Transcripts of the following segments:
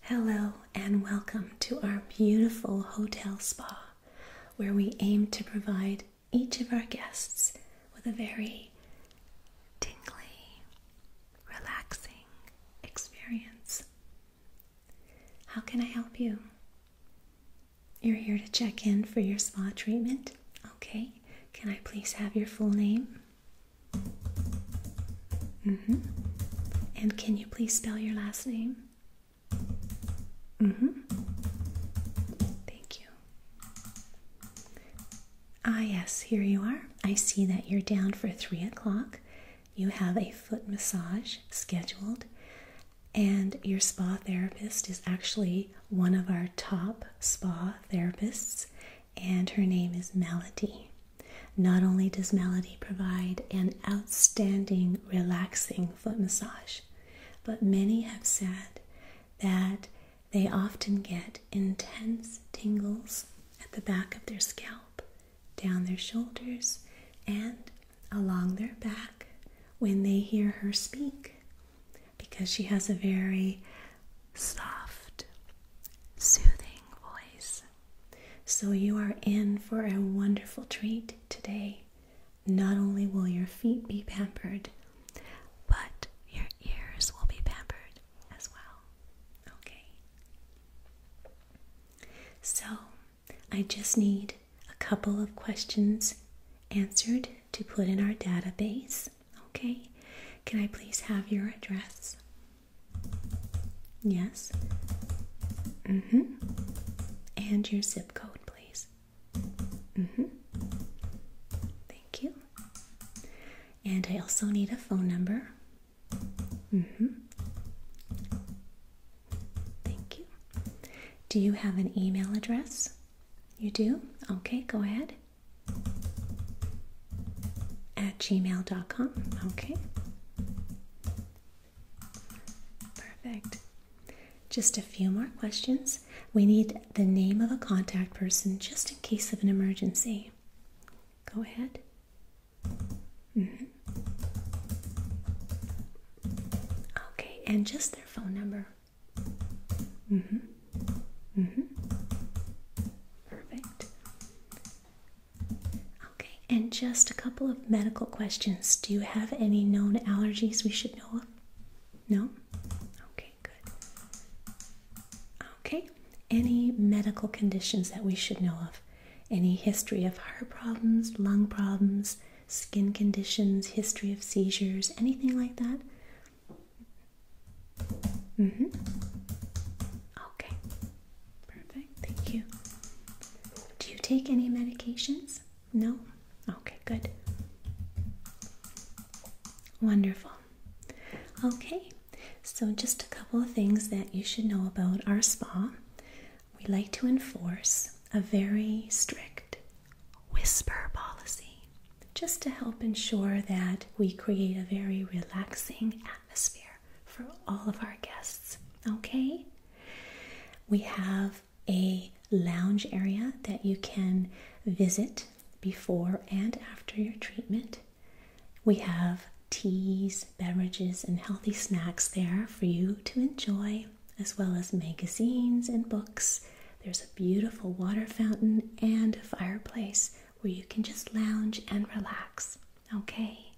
Hello, and welcome to our beautiful hotel spa where we aim to provide each of our guests with a very tingly, relaxing experience how can I help you? You're here to check in for your spa treatment. Okay. Can I please have your full name? Mm-hmm. And can you please spell your last name? Mm-hmm. Thank you. Ah, yes, here you are. I see that you're down for three o'clock you have a foot massage scheduled, and your spa therapist is actually one of our top spa therapists, and her name is Melody. Not only does Melody provide an outstanding, relaxing foot massage, but many have said that they often get intense tingles at the back of their scalp down their shoulders, and along their back when they hear her speak because she has a very soft, soothing voice. So, you are in for a wonderful treat today. Not only will your feet be pampered, but your ears will be pampered as well. Okay. So, I just need a couple of questions answered to put in our database. Okay, can I please have your address? Yes. hmm. And your zip code, please. hmm. Thank you. And I also need a phone number Mm hmm. Thank you. Do you have an email address? You do? Okay, go ahead. At gmail.com. Okay. Perfect. Just a few more questions. We need the name of a contact person just in case of an emergency. Go ahead. Mm-hmm. Okay, and just their phone number. Mm -hmm. Mm -hmm. Perfect. Okay, and just a couple of medical questions. Do you have any known allergies we should know of? No? Okay, good. Okay, any medical conditions that we should know of? any history of heart problems, lung problems, skin conditions, history of seizures, anything like that? Mm-hmm. Okay. Perfect. Thank you. Do you take any medications? No? Okay, good. Wonderful. Okay, so just a couple of things that you should know about our spa we like to enforce a very strict whisper policy just to help ensure that we create a very relaxing atmosphere for all of our guests. Okay? We have a lounge area that you can visit before and after your treatment. We have teas, beverages, and healthy snacks there for you to enjoy, as well as magazines and books. There's a beautiful water fountain and a fireplace where you can just lounge and relax. Okay.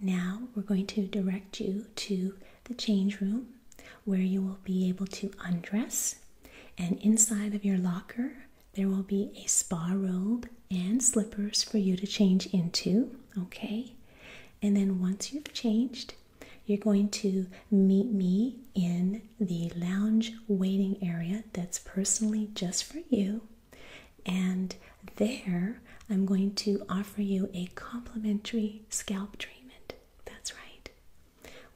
Now we're going to direct you to the change room where you will be able to undress. And inside of your locker, there will be a spa robe and slippers for you to change into okay? And then once you've changed, you're going to meet me in the lounge waiting area that's personally just for you. And there, I'm going to offer you a complimentary scalp treatment. That's right.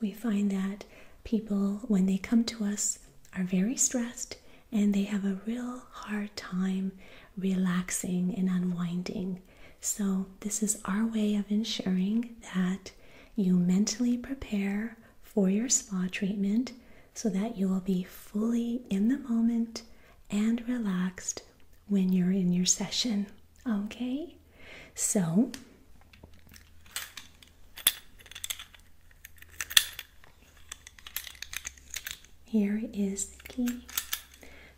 We find that people, when they come to us, are very stressed and they have a real hard time relaxing and unwinding. So, this is our way of ensuring that you mentally prepare for your spa treatment so that you will be fully in the moment and relaxed when you're in your session. Okay? So, here is the key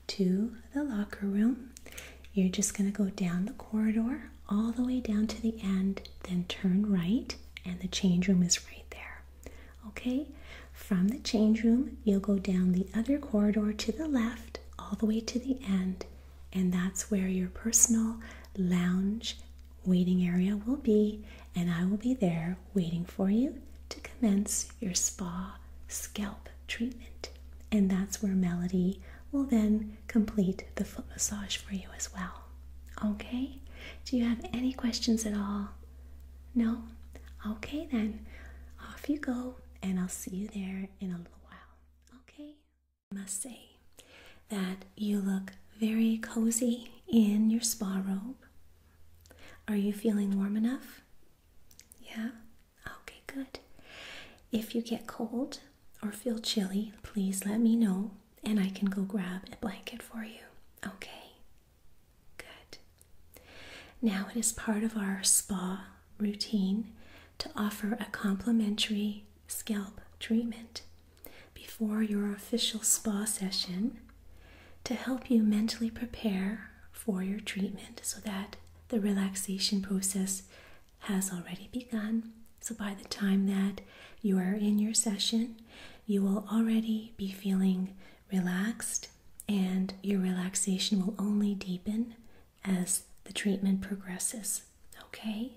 to the locker room. You're just going to go down the corridor all the way down to the end, then turn right, and the change room is right there. Okay? From the change room, you'll go down the other corridor to the left all the way to the end, and that's where your personal lounge waiting area will be, and I will be there waiting for you to commence your spa scalp treatment. And that's where Melody will then complete the foot massage for you as well. Okay? Do you have any questions at all? No? Okay, then off you go, and I'll see you there in a little while. Okay? I must say that you look very cozy in your spa robe. Are you feeling warm enough? Yeah? Okay, good. If you get cold or feel chilly, please let me know and I can go grab a blanket for you. Okay? Good. Now it is part of our spa routine to offer a complimentary scalp treatment. Before your official spa session, to help you mentally prepare for your treatment so that the relaxation process has already begun. So, by the time that you are in your session, you will already be feeling relaxed, and your relaxation will only deepen as the treatment progresses. Okay?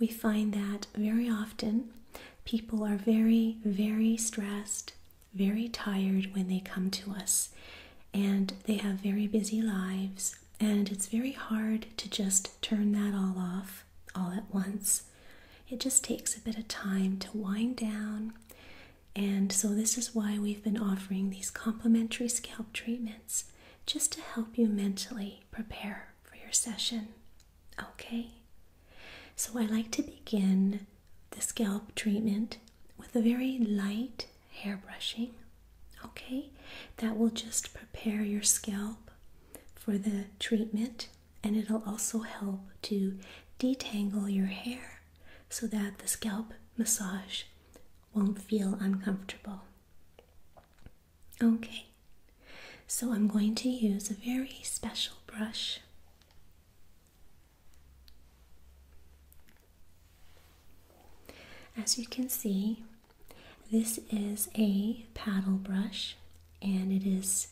We find that very often people are very, very stressed very tired when they come to us and they have very busy lives, and it's very hard to just turn that all off all at once. It just takes a bit of time to wind down. And so, this is why we've been offering these complimentary scalp treatments just to help you mentally prepare for your session. Okay, so I like to begin the scalp treatment with a very light hair brushing. Okay, that will just prepare your scalp for the treatment and it'll also help to detangle your hair so that the scalp massage won't feel uncomfortable. Okay, so I'm going to use a very special brush. As you can see, this is a paddle brush and it is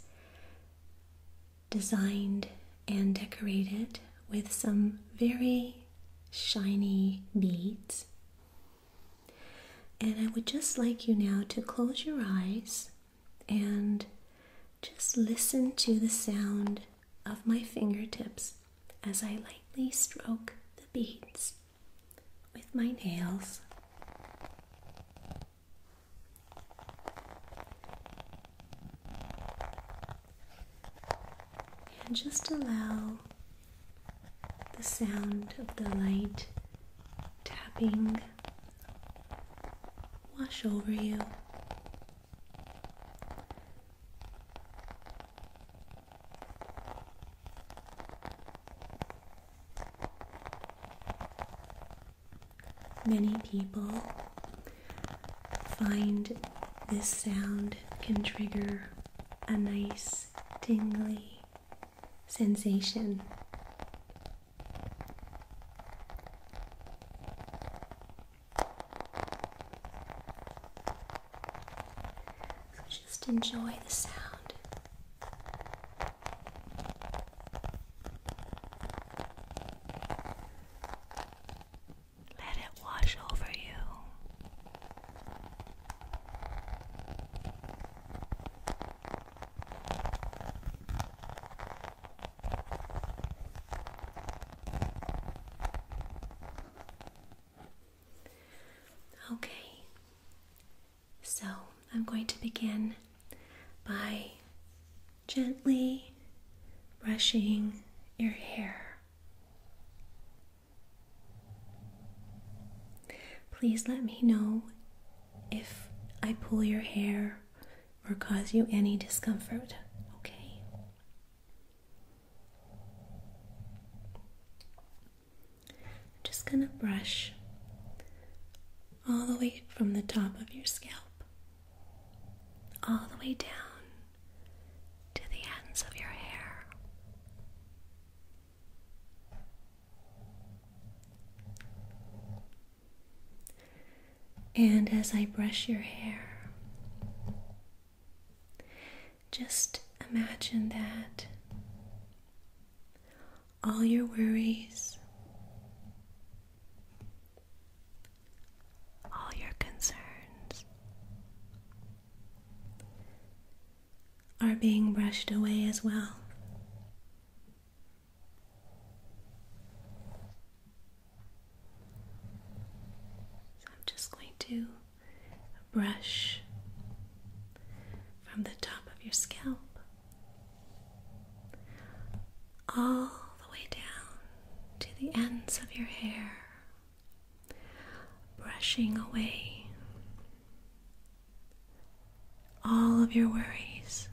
designed and decorated with some very shiny beads. And I would just like you now to close your eyes and just listen to the sound of my fingertips as I lightly stroke the beads with my nails. And just allow the sound of the light tapping wash over you. Many people find this sound can trigger a nice tingly sensation so just enjoy the sound. Let it wash over you. Okay, so I'm going to begin by gently brushing your hair. Please let me know if I pull your hair or cause you any discomfort, okay? I'm just going to brush all the way from the top of your scalp, all the way down to the ends of your hair. And as I brush your hair, just imagine that all your worries, all your concerns are being brushed away as well. I'm just going to brush from the top of your scalp all the way down to the ends of your hair, brushing away all of your worries,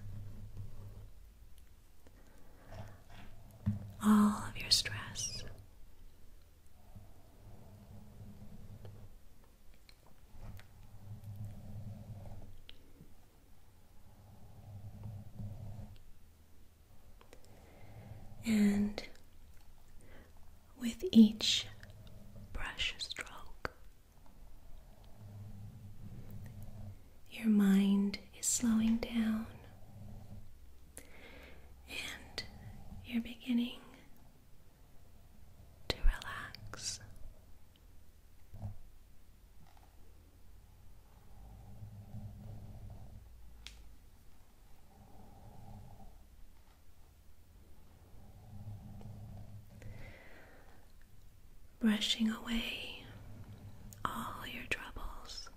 all of your stress. And with each brush stroke, your mind is slowing down, and you're beginning to relax brushing away all your troubles,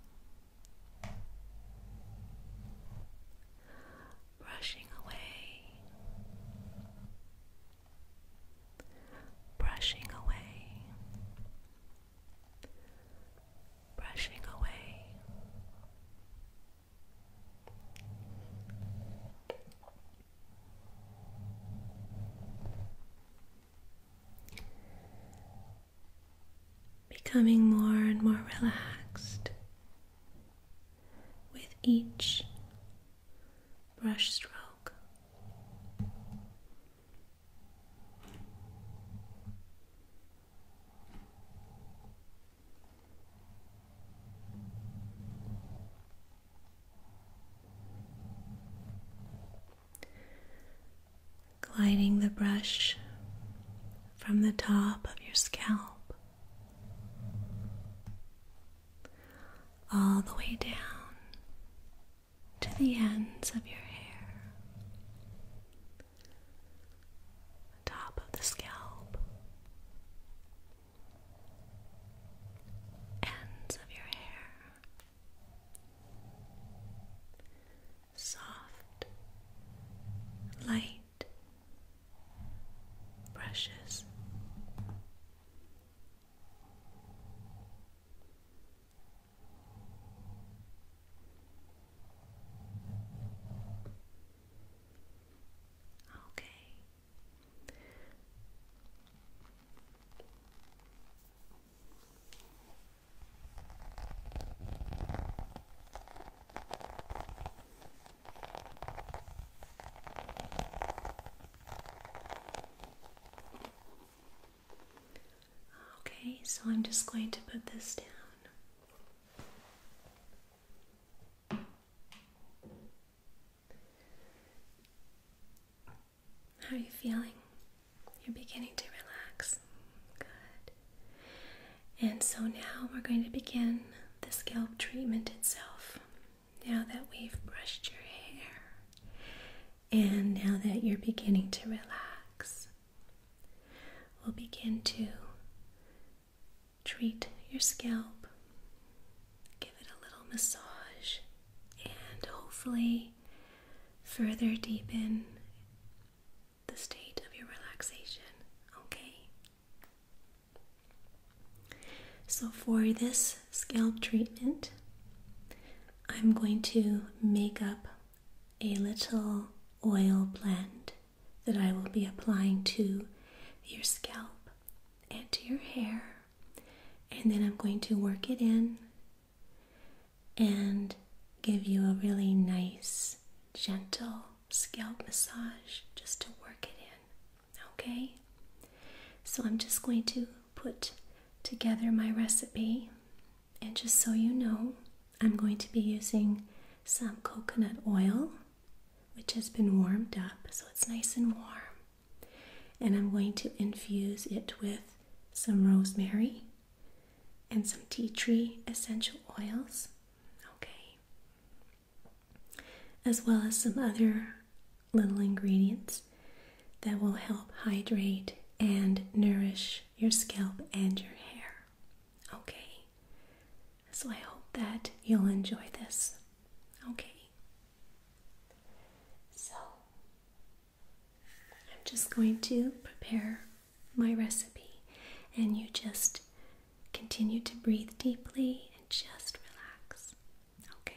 brushing away, brushing away, brushing away becoming more and more relaxed with each brushstroke gliding the brush from the top of your scalp all the way down to the ends of your hair, top of the scalp, ends of your hair soft, light brushes. Okay. Okay, so I'm just going to put this down. How are you feeling? You're beginning to relax. Good. And so now we're going to begin the scalp treatment itself. Now that we've brushed your hair and now that you're beginning to relax, we'll begin to treat your scalp, give it a little massage, and hopefully further deepen the state of your relaxation. Okay? So, for this scalp treatment, I'm going to make up a little oil blend that I will be applying to your scalp and to your hair and then I'm going to work it in and give you a really nice, gentle scalp massage just to work it in. Okay? So I'm just going to put together my recipe, and just so you know, I'm going to be using some coconut oil which has been warmed up, so it's nice and warm. And I'm going to infuse it with some rosemary and some tea tree essential oils, okay, as well as some other little ingredients that will help hydrate and nourish your scalp and your hair, okay. So I hope that you'll enjoy this, okay. So, I'm just going to prepare my recipe, and you just continue to breathe deeply and just relax. Okay.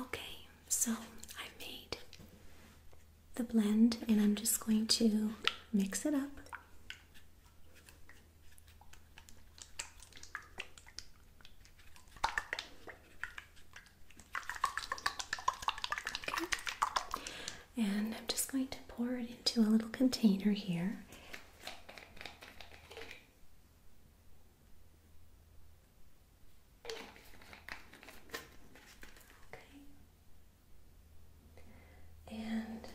Okay, so I made the blend and I'm just going to mix it up. Okay. And I'm just going to pour it into a little container here. And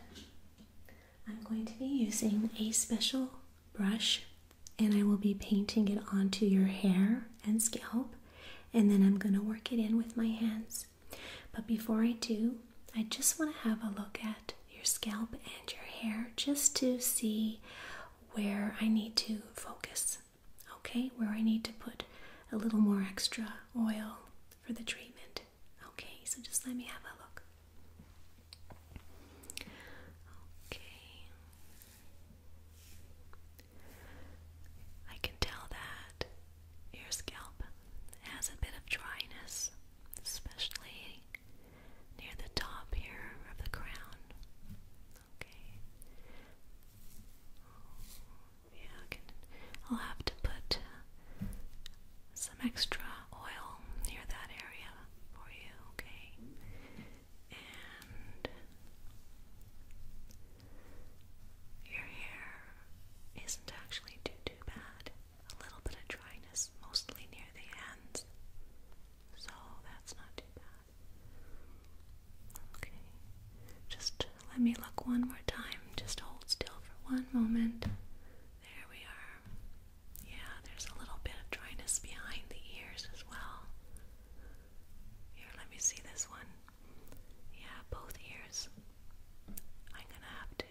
I'm going to be using a special brush and I will be painting it onto your hair and scalp and then I'm going to work it in with my hands. But before I do, I just want to have a look at your scalp and your hair just to see where I need to focus, okay? Where I need to put a little more extra oil for the treatment, okay? So just let me have a look. Okay. I can tell that your scalp has a bit of dryness, especially near the top here of the crown. Okay. Oh, yeah, I will have to put some extra oil near that area for you, okay? And your hair isn't actually too too bad a little bit of dryness, mostly near the ends. So that's not too bad. Okay. Just let me look one more time. Just hold still for one moment. There we are. Yeah, there's a little bit of dryness behind the ears as well. Here, let me see this one. Yeah, both ears. I'm gonna have to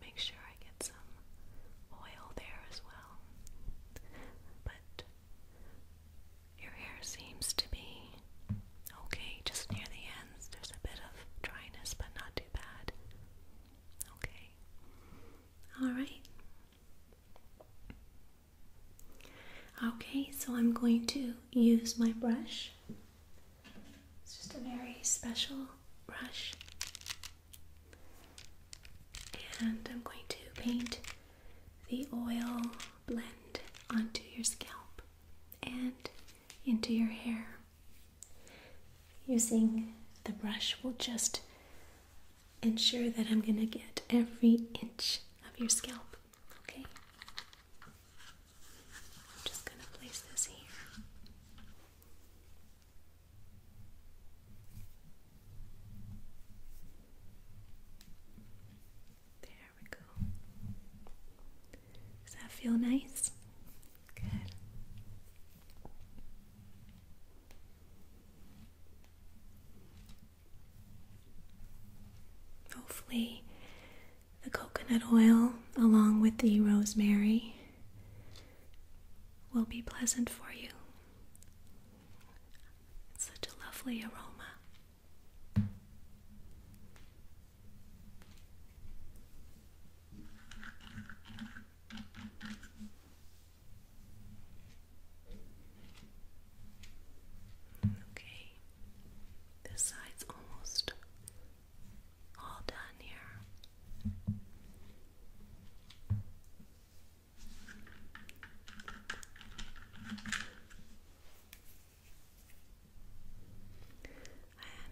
make sure I get some oil there as well. But your hair seems to be okay, just near the ends. There's a bit of dryness, but not too bad. Okay. Alright. Okay, so I'm going to use my brush. It's just a very special brush. And I'm going to paint the oil blend onto your scalp and into your hair. Using the brush will just ensure that I'm going to get every inch of your scalp. Okay? I'm just going to place this here. There we go. Does that feel nice? Good. Hopefully, the coconut oil along with the rosemary will be pleasant for you. such a lovely aroma. Okay, this side's almost all done here. And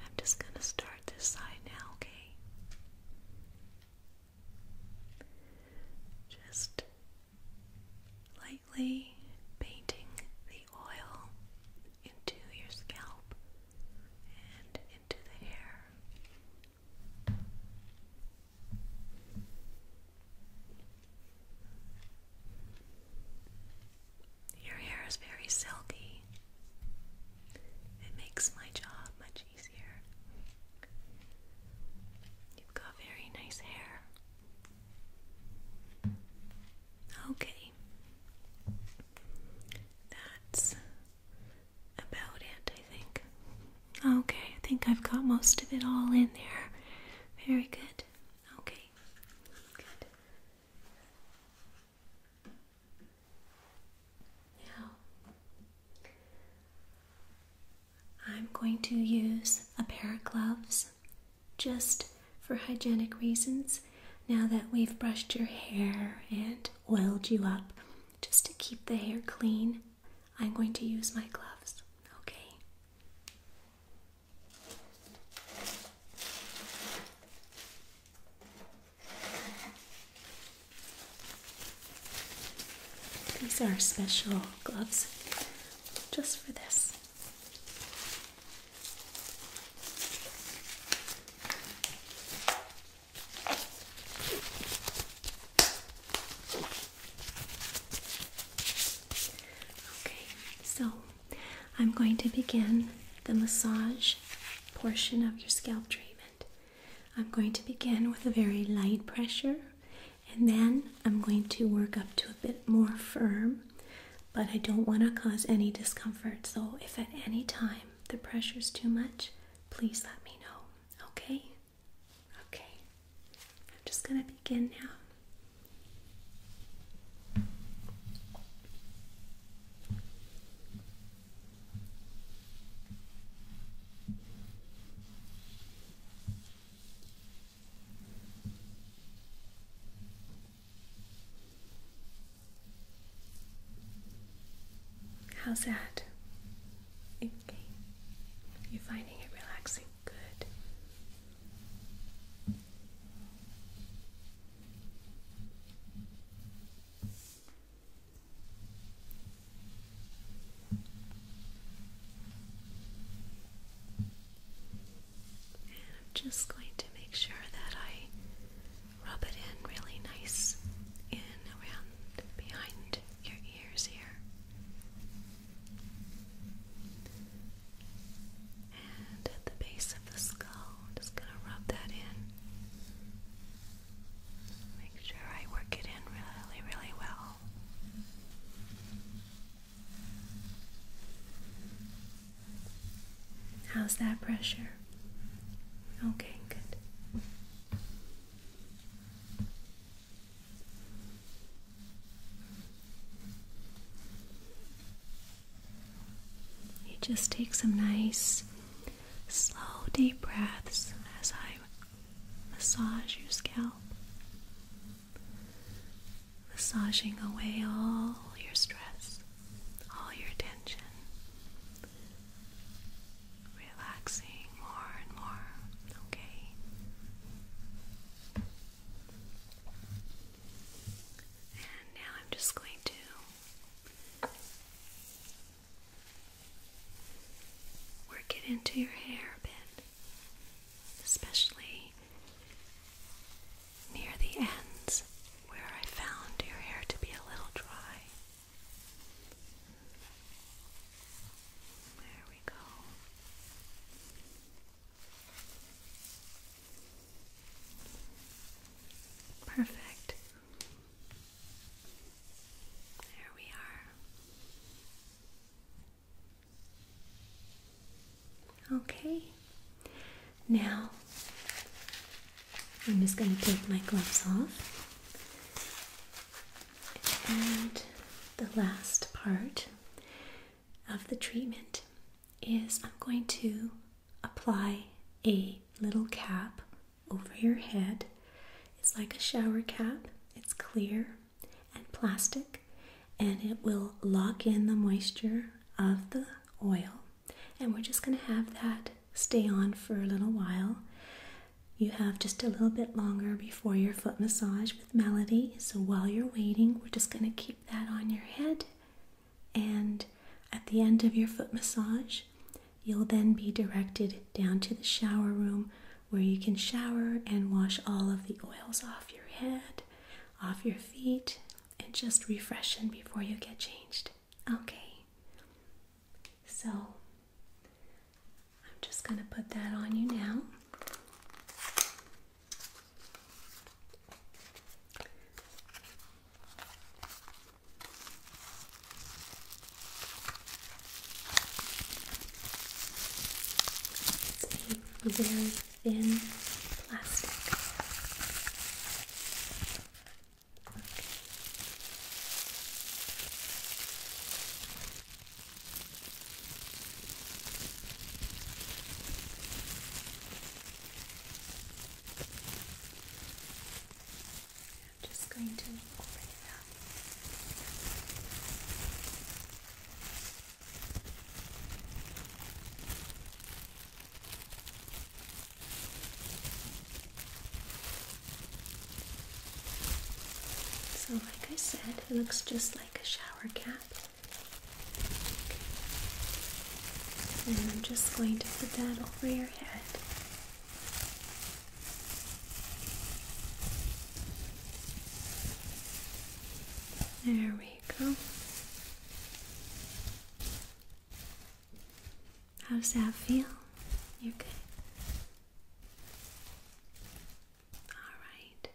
I'm just going to start this side now, okay? Just lightly painting the oil into your scalp and into the hair. Your hair is very silky. It makes my job much easier. You've got very nice hair. Okay. That's about it, I think. Okay, I think I've got most of it all in there. Very good. Okay, good. Now, I'm going to use a pair of gloves just for hygienic reasons. Now that we've brushed your hair and oiled you up, just to keep the hair clean, I'm going to use my gloves, okay? These are special gloves just for this. Okay, so I'm going to begin the massage portion of your scalp treatment. I'm going to begin with a very light pressure and then I'm going to work up to a bit more firm, but I don't want to cause any discomfort. So if at any time the pressure is too much, please let me know. Okay? Okay. I'm just going to begin now. How's that? You're finding it relaxing. Good. I'm just going to make sure that I rub it in really nice in around behind your ears here. And at the base of the skull, just going to rub that in. Make sure I work it in really, really well. How's that pressure? Okay, good. You just take some nice, slow, deep breaths as I massage your scalp, massaging away all your stress, all your tension relaxing more and more, okay? And now I'm just going to work it into your hair a bit, especially near the ends where I found your hair to be a little dry. There we go. Perfect. There we are. Okay. Now I'm just going to take my gloves off. And the last part of the treatment is I'm going to apply a little cap over your head. It's like a shower cap, it's clear and plastic, and it will lock in the moisture of the oil. And we're just going to have that stay on for a little while. You have just a little bit longer before your foot massage with Melody. So while you're waiting, we're just going to keep that on your head. And at the end of your foot massage, you'll then be directed down to the shower room where you can shower and wash all of the oils off your head, off your feet, and just refreshen before you get changed. Okay. So I'm just going to put that on you now. It's very thin plastic. Okay. I'm just going to open it up. Okay. So, like I said, it looks just like a shower cap. And I'm just going to put that over your head. There we go. How does that feel? You're good. All right.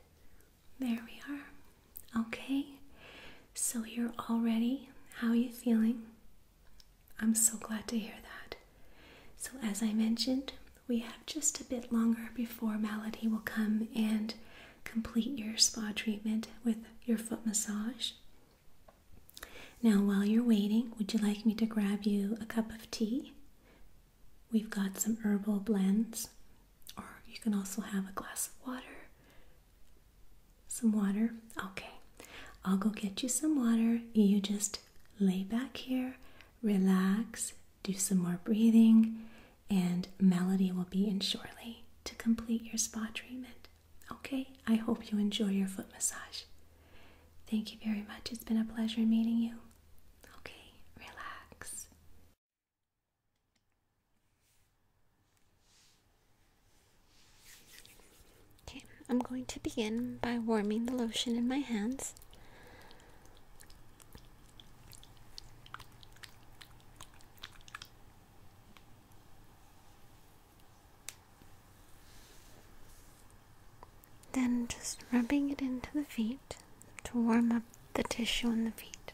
There we are. Okay. So you're all ready. How are you feeling? I'm so glad to hear that. So, as I mentioned, we have just a bit longer before Malady will come and complete your spa treatment with your foot massage. Now, while you're waiting, would you like me to grab you a cup of tea? We've got some herbal blends, or you can also have a glass of water. Some water? Okay. I'll go get you some water. You just lay back here, relax, do some more breathing, and Melody will be in shortly to complete your spa treatment. Okay, I hope you enjoy your foot massage. Thank you very much. It's been a pleasure meeting you. Okay, relax. Okay, I'm going to begin by warming the lotion in my hands. Then just rubbing it into the feet to warm up the tissue in the feet.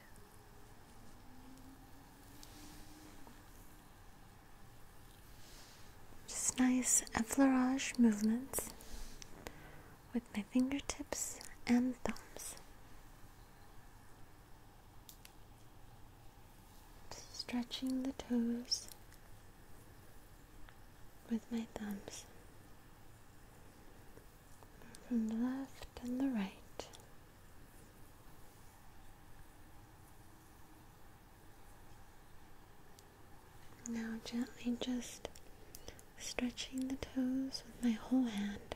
Just nice effleurage movements with my fingertips and thumbs. Stretching the toes with my thumbs from the left and the right. Now, gently just stretching the toes with my whole hand.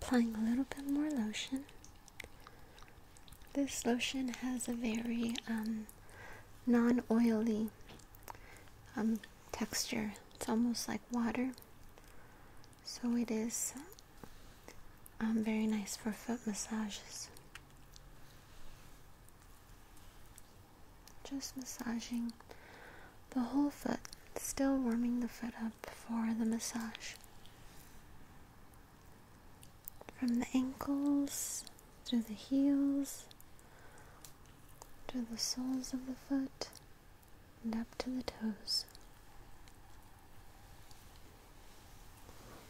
Applying a little bit more lotion. This lotion has a very um, non oily um, texture, it's almost like water, so it is um, very nice for foot massages. Just massaging the whole foot, still warming the foot up for the massage. From the ankles to the heels to the soles of the foot and up to the toes.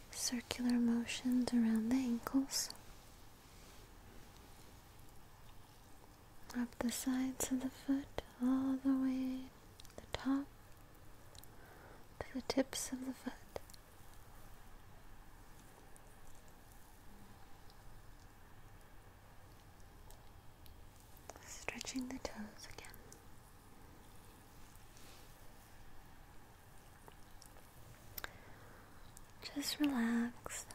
Circular motions around the ankles up the sides of the foot, all the way to the top to the tips of the foot. Stretching the toes again. Just relax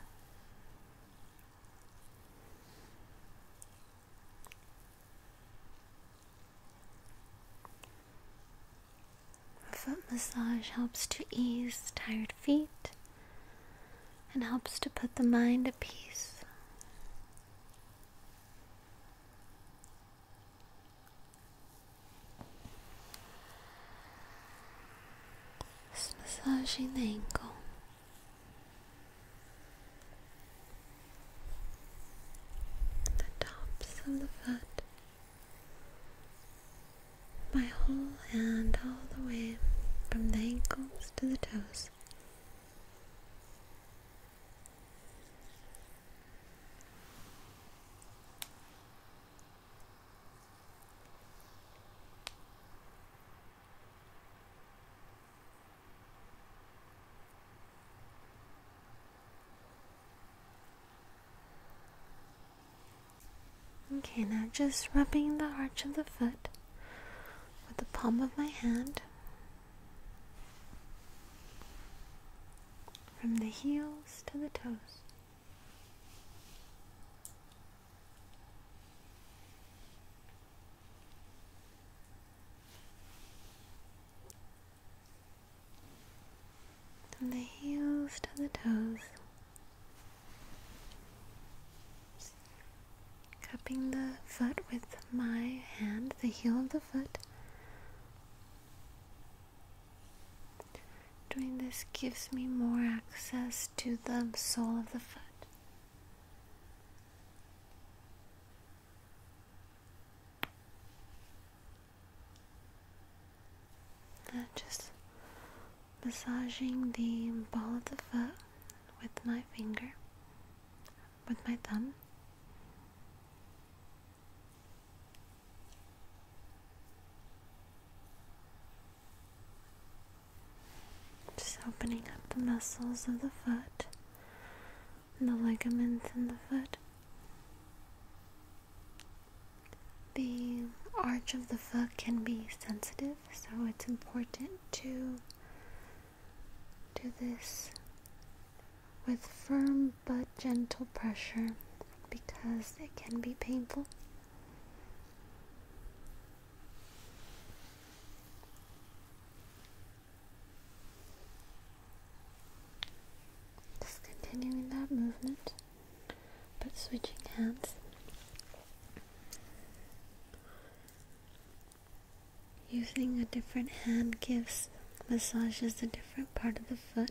foot massage helps to ease tired feet and helps to put the mind at peace. Just massaging the the tops of the foot, my whole hand all the way from the ankles to the toes. Okay, now just rubbing the arch of the foot with the palm of my hand from the heels to the toes. From the heels to the toes, cupping the foot with my hand, the heel of the foot. Doing this gives me more access to the sole of the foot. just massaging the ball of the foot with my finger, with my thumb. Just opening up the muscles of the foot and the ligaments in the foot. The arch of the foot can be sensitive, so it's important to do this with firm but gentle pressure because it can be painful. Just continuing that movement, but switching hands. Using a different hand gives massages a different part of the foot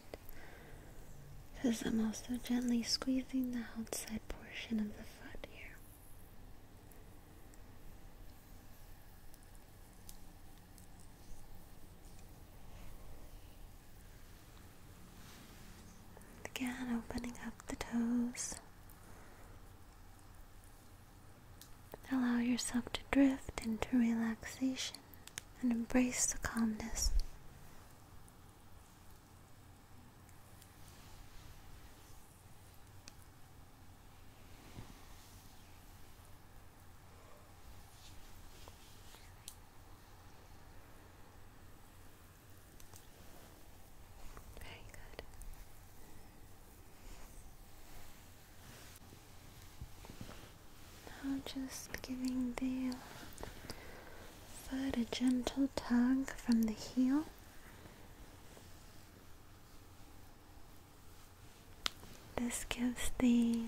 because I'm also gently squeezing the outside portion of the foot here. Again, opening up the toes. Allow yourself to drift into relaxation and embrace the calmness. Very good. Now just giving the foot a gentle tug from the heel. This gives the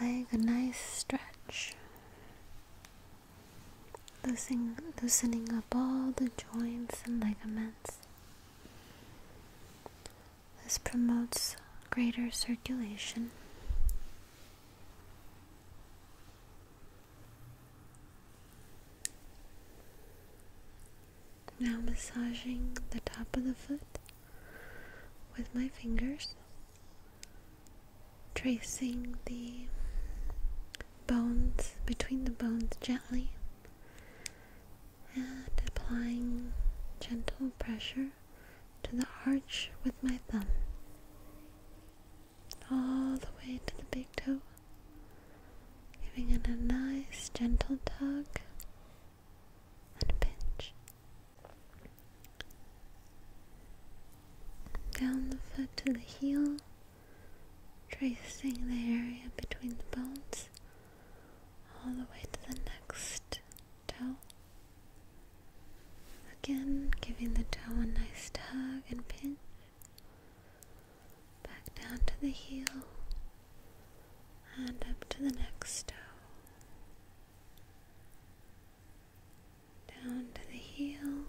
leg a nice stretch, loosening, loosening up all the joints and ligaments. This promotes greater circulation. Now, massaging the top of the foot with my fingers, tracing the bones between the bones gently and applying gentle pressure to the arch with my thumb all the way to the big toe, giving it a nice gentle tug and a pinch. Down the foot to the heel, tracing the area between the bones all the way to the next toe. Again, giving the toe a nice tug and pinch. Back down to the heel and up to the next toe. Down to the heel,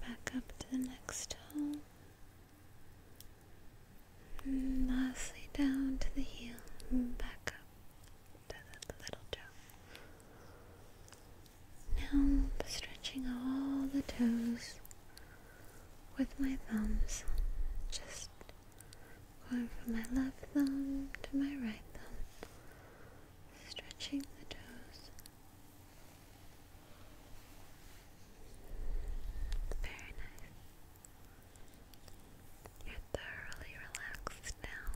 back up to the next toe. And lastly, down to the heel, and back up to the little toe. Now stretching all the toes with my thumbs, just going from my left thumb to my right thumb, stretching the toes. Very nice. You're thoroughly relaxed now.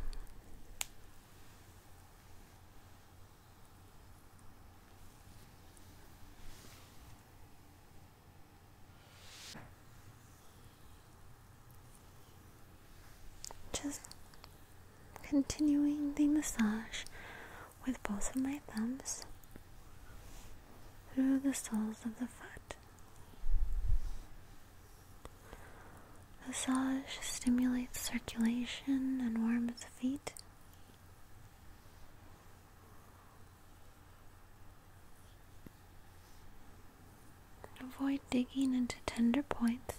Just continuing the massage with both of my thumbs through the soles of the foot. Massage stimulates circulation and warms the feet. Avoid digging into tender points.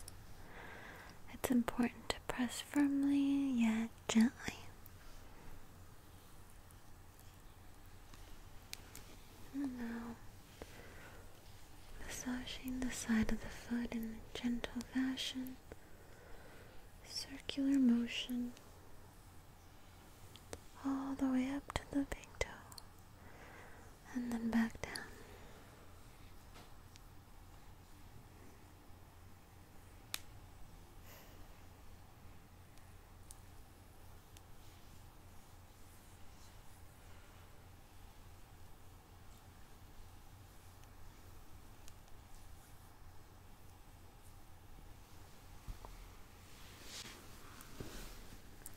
It's important to press firmly yet gently. now massaging the side of the foot in a gentle fashion, circular motion all the way up to the big toe and then back down.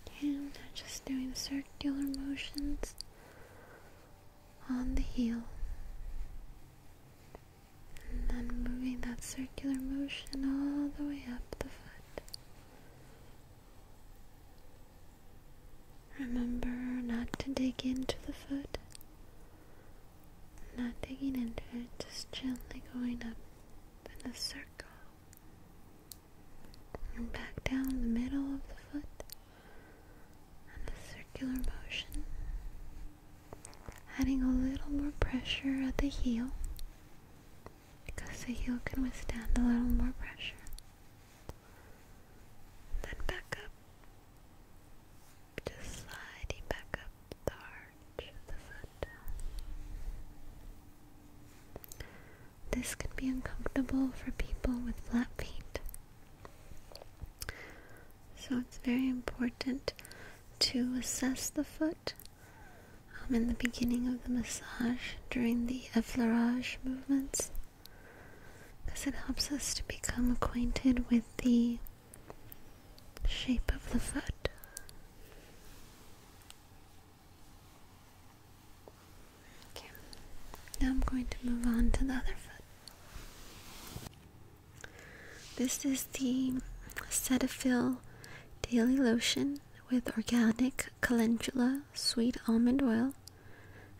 Okay, I'm just doing circular motions on the heel. And then moving that circular motion all the way up the foot. Remember not to dig into the foot. Not digging into it, just gently going up in a circle. And back down the middle of the foot in a circular motion. Adding a little more pressure at the heel because the heel can withstand a little more pressure. Then back up. Just sliding back up the arch the foot. This can be uncomfortable for people with flat feet. So it's very important to assess the foot um, in the beginning of the massage during the effleurage movements because it helps us to become acquainted with the shape of the foot. now I'm going to move on to the other foot. This is the Cetaphil Daily Lotion with organic calendula sweet almond oil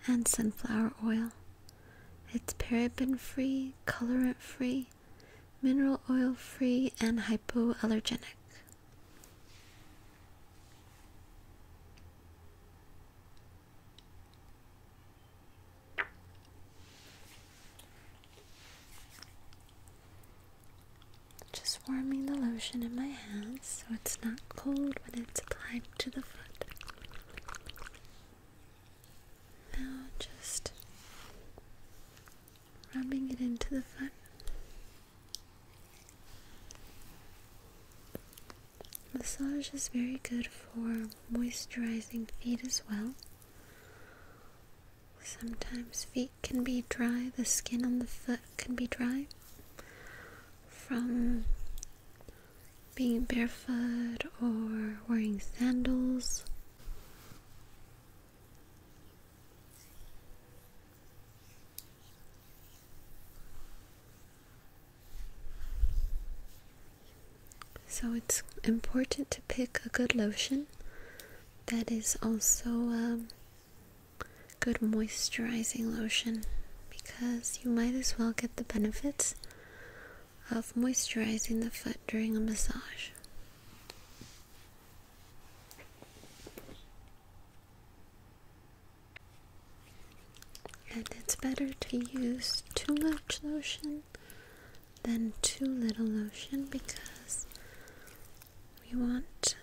and sunflower oil. It's paraben free, colorant free, mineral oil free, and hypoallergenic. Just warming the lotion in my hands so it's not cold when it's applied to the foot. Now just rubbing it into the front. Massage is very good for moisturizing feet as well. Sometimes feet can be dry, the skin on the foot can be dry from being barefoot or wearing sandals. So it's important to pick a good lotion that is also a um, good moisturizing lotion because you might as well get the benefits of moisturizing the foot during a massage. And it's better to use too much lotion than too little lotion because we want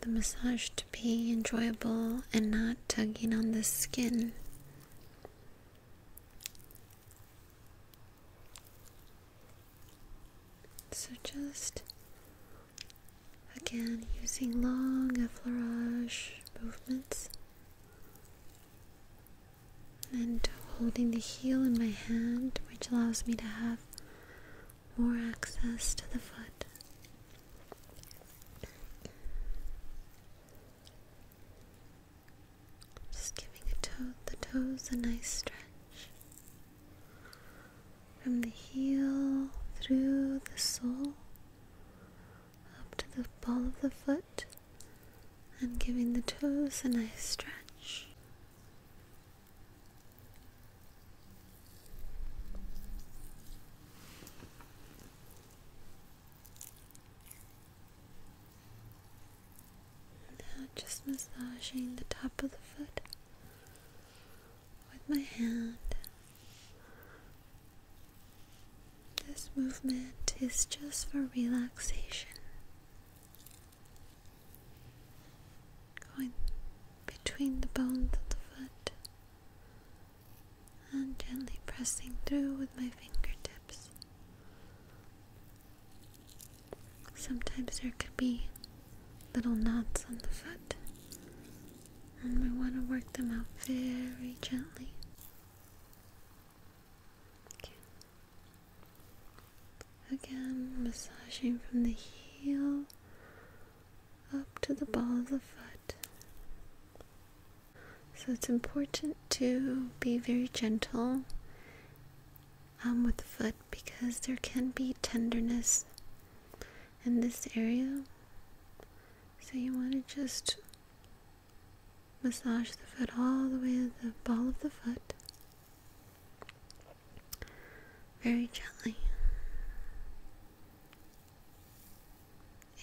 the massage to be enjoyable and not tugging on the skin. So just again using long effleurage movements and holding the heel in my hand, which allows me to have more access to the foot just giving a toe, the toes a nice stretch from the heel through the sole up to the ball of the foot, and giving the toes a nice stretch. Now just massaging the top of the foot with my hand. This movement is just for relaxation. Going between the bones of the foot and gently pressing through with my fingertips. Sometimes there could be little knots on the foot, and we want to work them out very gently. Again, massaging from the heel up to the ball of the foot. So it's important to be very gentle um, with the foot because there can be tenderness in this area. So you want to just massage the foot all the way to the ball of the foot very gently.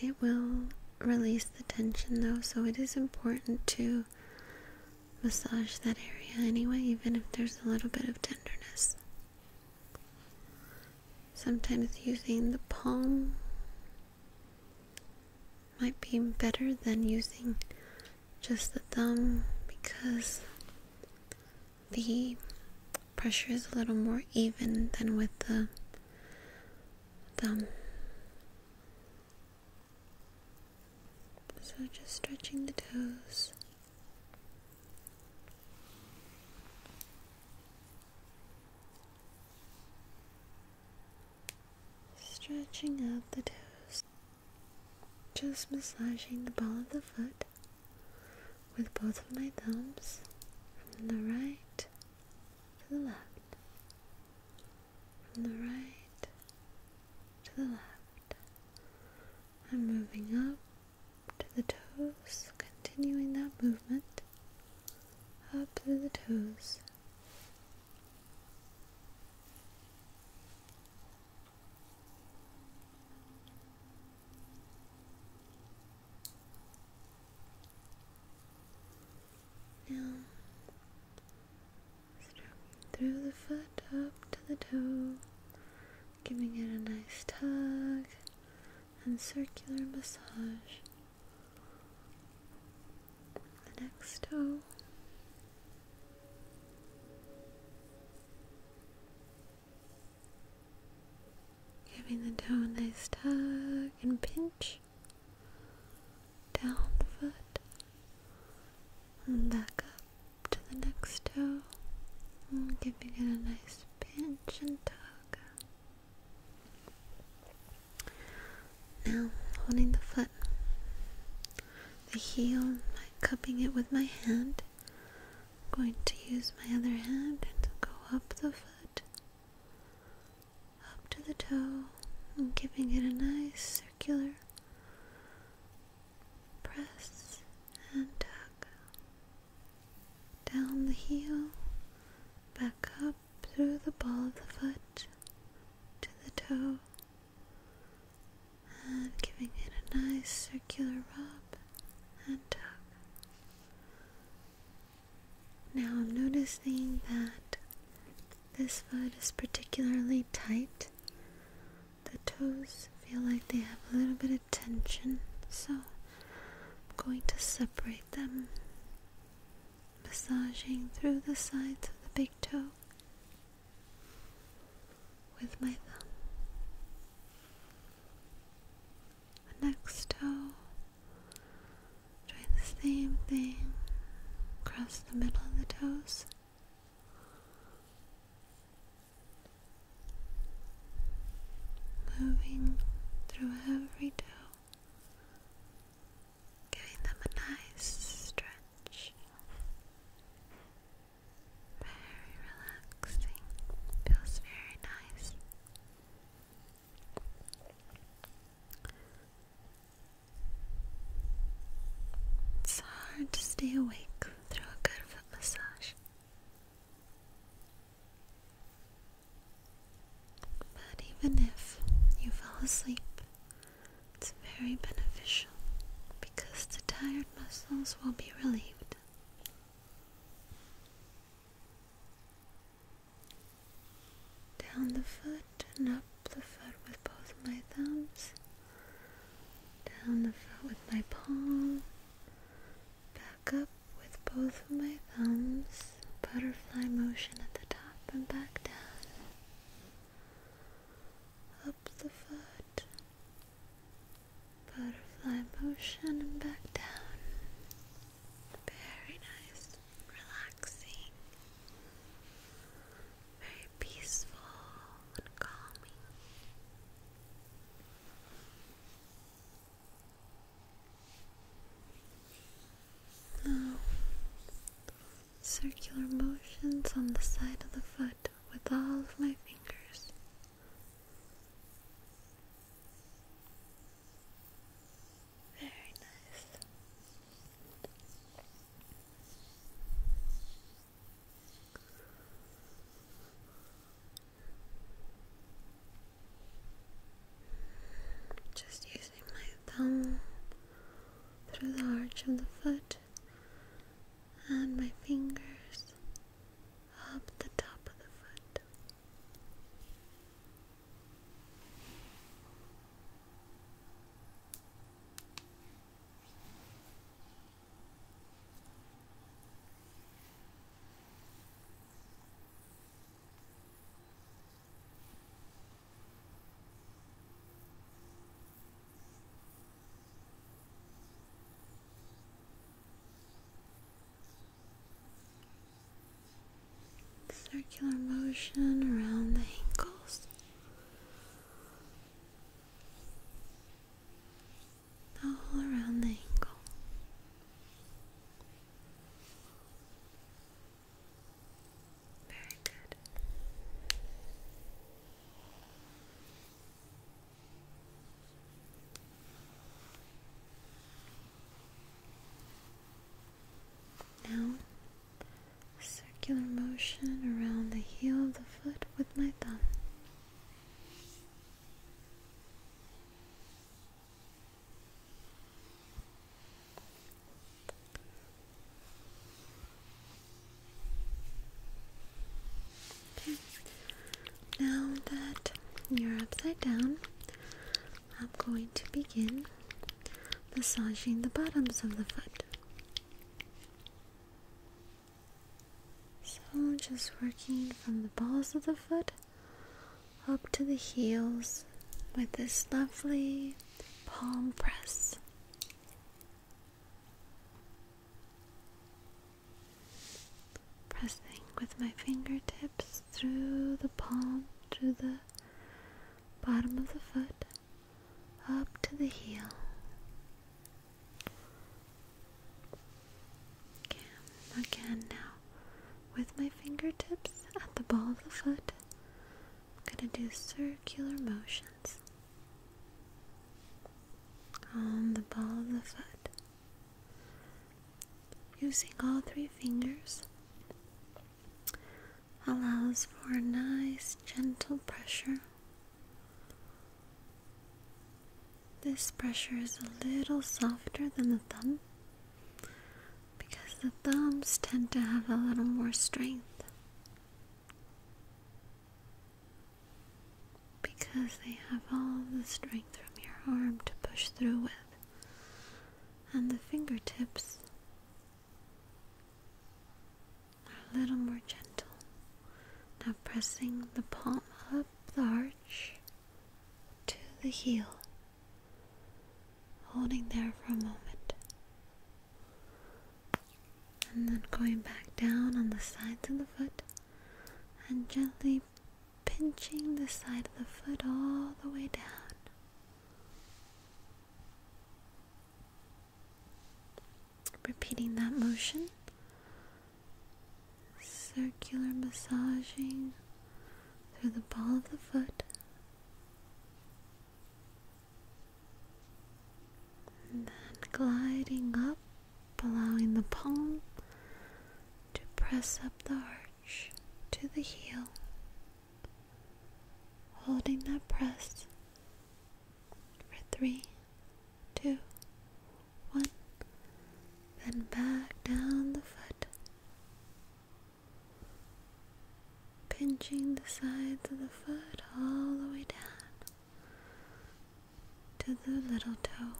It will release the tension though, so it is important to massage that area anyway, even if there's a little bit of tenderness. Sometimes using the palm might be better than using just the thumb because the pressure is a little more even than with the thumb. So just stretching the toes. Stretching out the toes. Just massaging the ball of the foot with both of my thumbs from the right to the left, from the right to the left. I'm moving up to the toes, continuing that movement up through the toes through the foot up to the toe, giving it a nice tug and circular massage. The next toe. Giving the toe a nice tug and pinch down the foot and back up to the next toe. giving it a nice pinch and tug. Now, holding the foot, the heel, i cupping it with my hand. going to use my other hand and go up the foot up to the toe and giving it a nice circular press and tuck down the heel, back up through the ball of the foot to the toe, and giving it a nice circular rub and tuck. Now I'm noticing that this foot is particularly tight. The toes feel like they have a little bit of tension, so I'm going to separate them, massaging through the sides of the big toe with my thumb the next toe, doing the same thing across the middle of the toes. Moving through every toe, giving them a nice stretch. Very relaxing, feels very nice. It's hard to stay awake through a good foot massage. But even if you fall asleep, it's very beneficial because the tired muscles will be relieved. Down the foot and up the foot with both my thumbs. Down the foot with my palm. Back up with both of my thumbs. Butterfly motion at the top and back down. Up the foot. Butterfly motion and back down. Very nice, relaxing, very peaceful and calming. Now, circular motions on the side of the foot with all of my fingers. Very nice. Just using my thumb through the arch of the foot and my fingers up the top of the foot. Circular motion around the ankles. All around the ankle. Very good. Now, circular motion around the heel of the foot with my thumb. Okay. Now that you're upside down, I'm going to begin massaging the bottoms of the foot. So, just working from the balls of the foot up to the heels with this lovely palm press pressing with my fingertips through the palm, through the bottom of the foot, up to the heel. Again, now, with my fingertips at the ball of the foot, I'm going to do circular motions on the ball of the foot. Using all three fingers allows for a nice gentle pressure. This pressure is a little softer than the thumb because the thumbs tend to have a little more strength. Because they have all the strength from your arm to push through with and the fingertips are a little more gentle. Now pressing the palm up the arch to the heel, holding there for a moment, and then going back down on the sides of the foot and gently pinching the side of the foot all the way down. Repeating that motion, circular massaging through the ball of the foot. then gliding up, allowing the palm to press up the arch to the heel, holding that press for three, two, one, then back down the foot, pinching the sides of the foot all the way down to the little toe.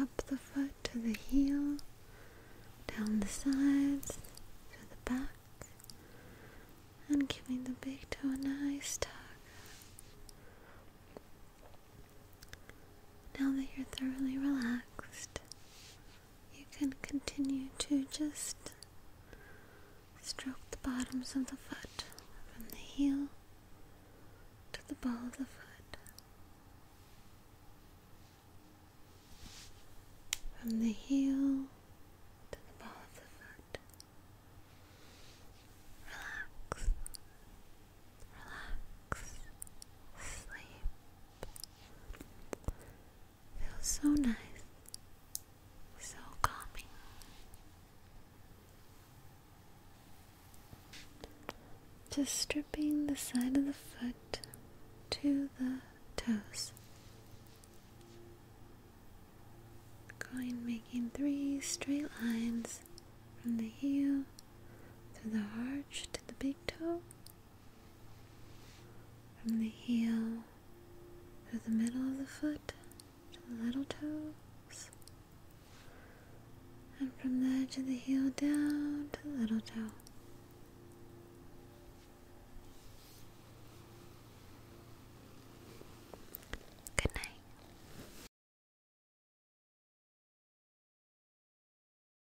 Up the foot to the heel, down the sides, to the back, and giving the big toe a nice tug. Now that you're thoroughly relaxed, you can continue to just stroke the bottoms of the foot from the heel to the ball of the foot, from the heel to the ball of the foot. Relax, relax, sleep. Feels so nice, so calming. Just stripping the side of the foot to the toes. Going making three straight lines from the heel through the arch to the big toe from the heel through the middle of the foot to the little toes. And from the edge of the heel down to the little toe. Good night.